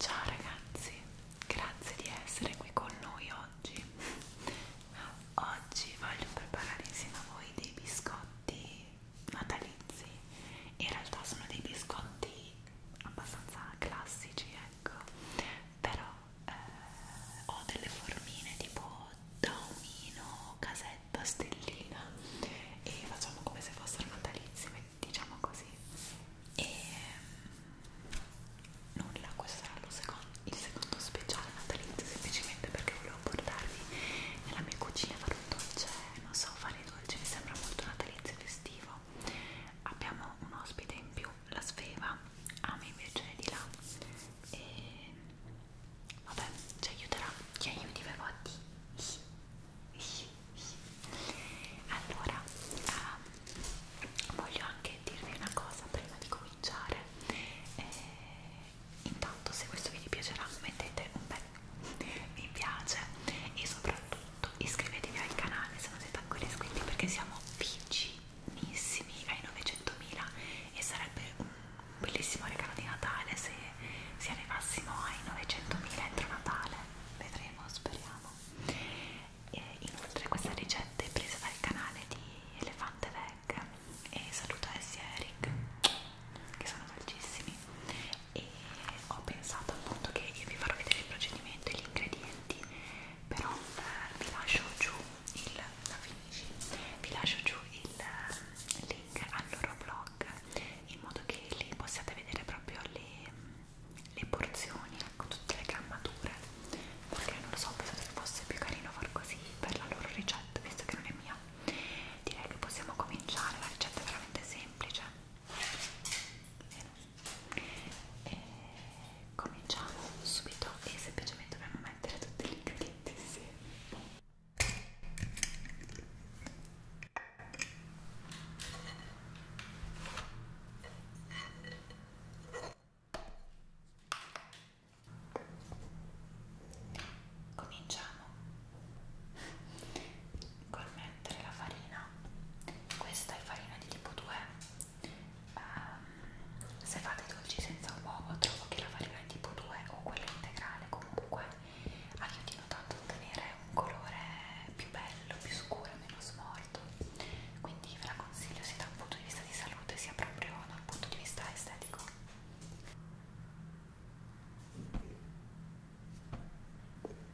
Ciao ragazzi, grazie di essere qui con noi oggi. Oggi voglio preparare insieme a voi dei biscotti natalizi. In realtà sono dei biscotti abbastanza classici ecco però eh, ho delle formine tipo daumino, casetta, stellina e facciamo come se fossero natalizie diciamo così e mm, nulla questo sarà secondo, il secondo speciale natalizio semplicemente perché volevo portarvi nella mia cucina a fare un dolce non so fare i dolci mi sembra molto natalizio e festivo abbiamo un ospite in più, la Sveva, Ami invece è di là e vabbè ci aiuterà, ci aiuti per votti allora um, voglio anche dirvi una cosa prima di cominciare e, eh, intanto se questo video vi piacerà mettete un bel mi piace e soprattutto tutto iscrivetevi al canale se non siete ancora iscritti perché siamo vicinissimi ai 900.000 e sarebbe un bellissimo regalo di Natale se, se arrivassimo ai 900.000 entro Natale vedremo, speriamo e inoltre questa ricetta è presa dal canale di Elefante Veg e saluto Essie e Eric che sono dolcissimi e ho pensato appunto che io vi farò vedere il procedimento e gli ingredienti commenti però eh, vi lascio giù il la finisci, vi lascio giù il eh, link al loro blog in modo che lì possiate vedere proprio le, le porzioni ecco tutte le grammature perché non lo so penso che fosse più carino far così per la loro ricetta visto che non è mia direi che possiamo cominciare la ricetta è veramente semplice Bene e cominciamo subito e semplicemente dobbiamo mettere tutti gli ingredienti insieme cominciamo col mettere la farina questa è farina di tipo 2 um, ehm, se fate i dolci senza uovo trovo che la farina di tipo 2 o quella integrale comunque aiutino tanto a ottenere un colore più bello, più scuro, meno smorto quindi ve la consiglio sia da un punto di vista di salute sia proprio da un punto di vista estetico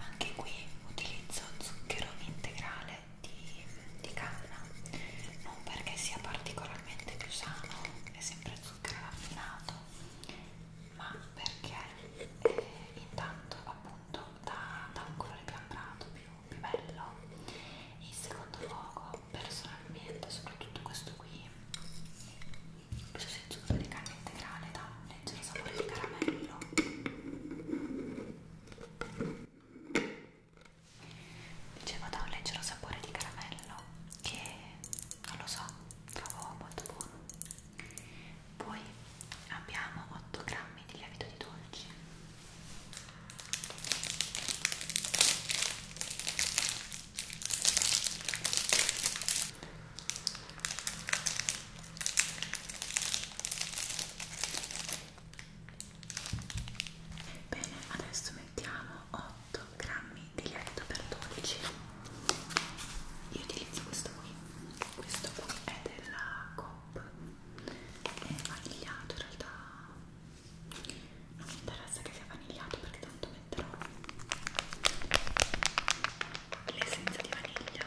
Anche qui utilizzo zucchero integrale di, di canna, non perché sia particolarmente più sano, è sempre zucchero raffinato, ma perché eh, intanto appunto dà, dà un colore piambrato più, più bello in secondo luogo personalmente soprattutto questo qui questo senso di carne integrale dà un leggero sapore di caramello dicevo da un leggero sapore di caramello che non lo so, trovo molto buono. Poi abbiamo 8 grammi di lievito di dolci. Bene, adesso mettiamo 8 8 grammi di lievito per 12 io utilizzo questo qui questo qui è della Coop è vanigliato in realtà non mi interessa che sia vanigliato perché tanto metterò l'essenza di vaniglia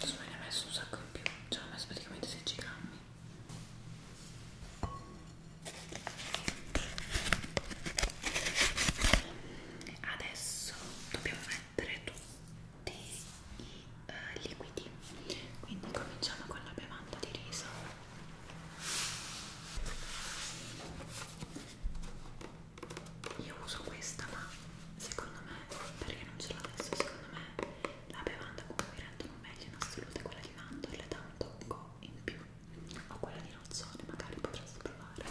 Insomma ne ho messo un sacco in più, ci cioè, ho messo praticamente 16 grammi Adesso dobbiamo mettere tutti i eh, liquidi quindi cominciamo con la bevanda di riso io uso questa, ma secondo me, perché non ce l'ho adesso, secondo me la bevanda come mi rendono meglio in assoluto è quella di mandorle, dà un tocco in più, o quella di nozzone, magari potresti provare.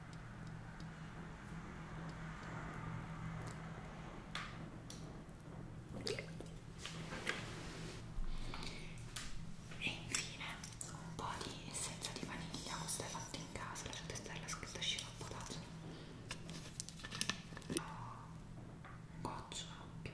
E infine un po' di essenza di vaniglia, questa è fatta in casa, lasciate stare la scritta sciroppotato. Goccio anche.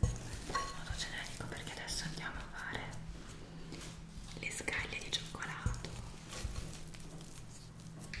in modo generico perché adesso andiamo a fare le scaglie di cioccolato Ecco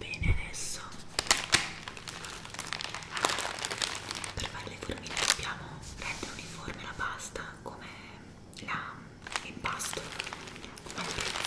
Bene, adesso per fare le formine dobbiamo rendere uniforme la pasta come l'impasto come attrezzo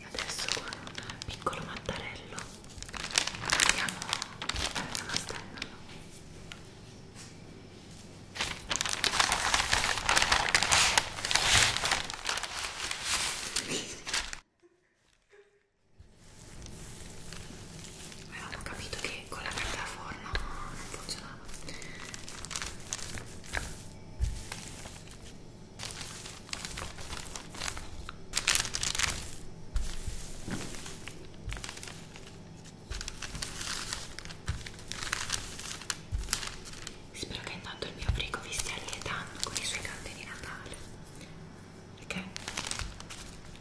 e adesso con un piccolo mattarello andiamo a fare una stella avevamo capito che con la carta forno non funziona Spero che intanto il mio frigo vi stia allietando con i suoi canti di Natale perché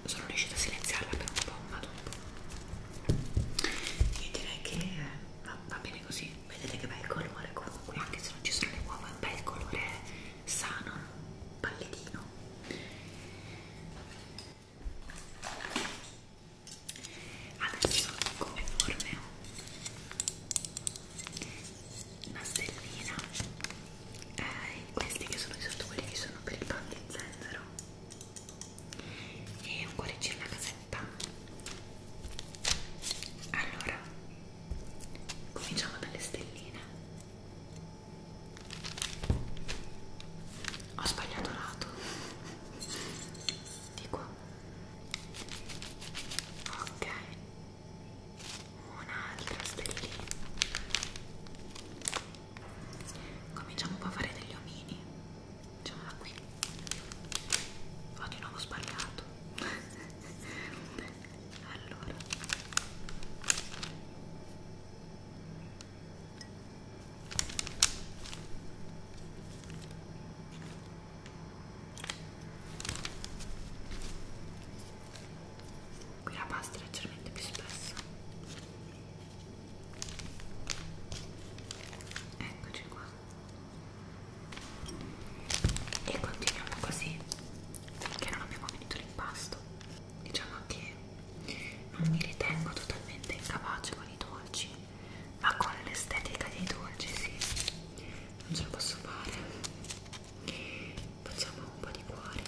sono riuscita a silenziarla per un po' ma dopo io direi che eh, va, va bene così vedete che bel colore comunque anche se non ci sono le uova è un bel colore sano pallidino adesso come forme ho una stellina eh, questi che sono i sotto quelli che sono per il pan di zenzero e un cuoricino una casetta allora cominciamo dalle stelline ho sbagliato lato di qua ok un'altra stellina cominciamo un po' a fare degli omini diciamo da qui ho di nuovo sbagliato allora qui la pasta è leggermente più spessa eccoci qua e continuiamo così finché non abbiamo finito l'impasto diciamo che non mi ritengo totalmente incapace con i dolci ma con l'estetica dei dolci sì non ce la posso fare facciamo un po' di cuore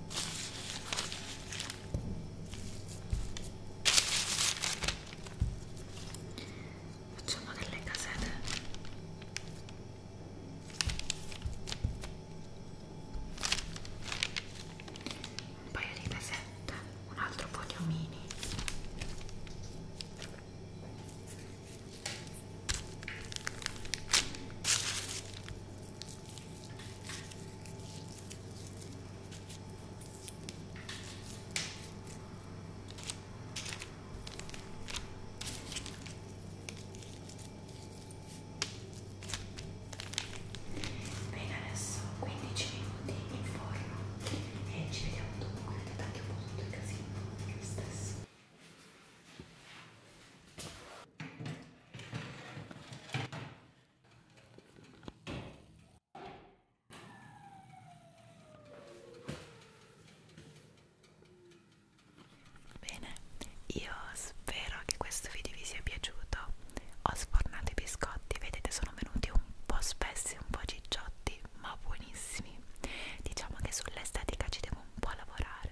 Facciamo delle casette. Un paio di casette, un altro po' di omini. Bene, adesso 15 minuti in forno e ci vediamo dopo quando ti attacchi un po' tutto il casino, lo stesso. Bene, io spero che questo video vi sia piaciuto. Ho sfornato i biscotti, vedete sono venuti un po' spessi, un po' cicciotti, ma buonissimi. Diciamo che sull'estetica ci devo un po' a lavorare,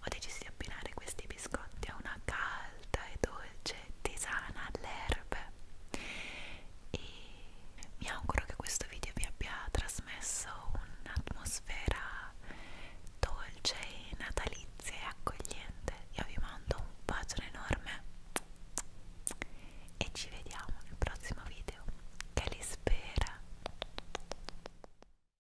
ho deciso di abbinare questi biscotti a una calda e dolce tisana all'erbe e mi auguro che questo video vi abbia trasmesso un'atmosfera dolce e natalizia e accogliente. Io vi mando un bacione enorme e ci vediamo nel prossimo video che li spera.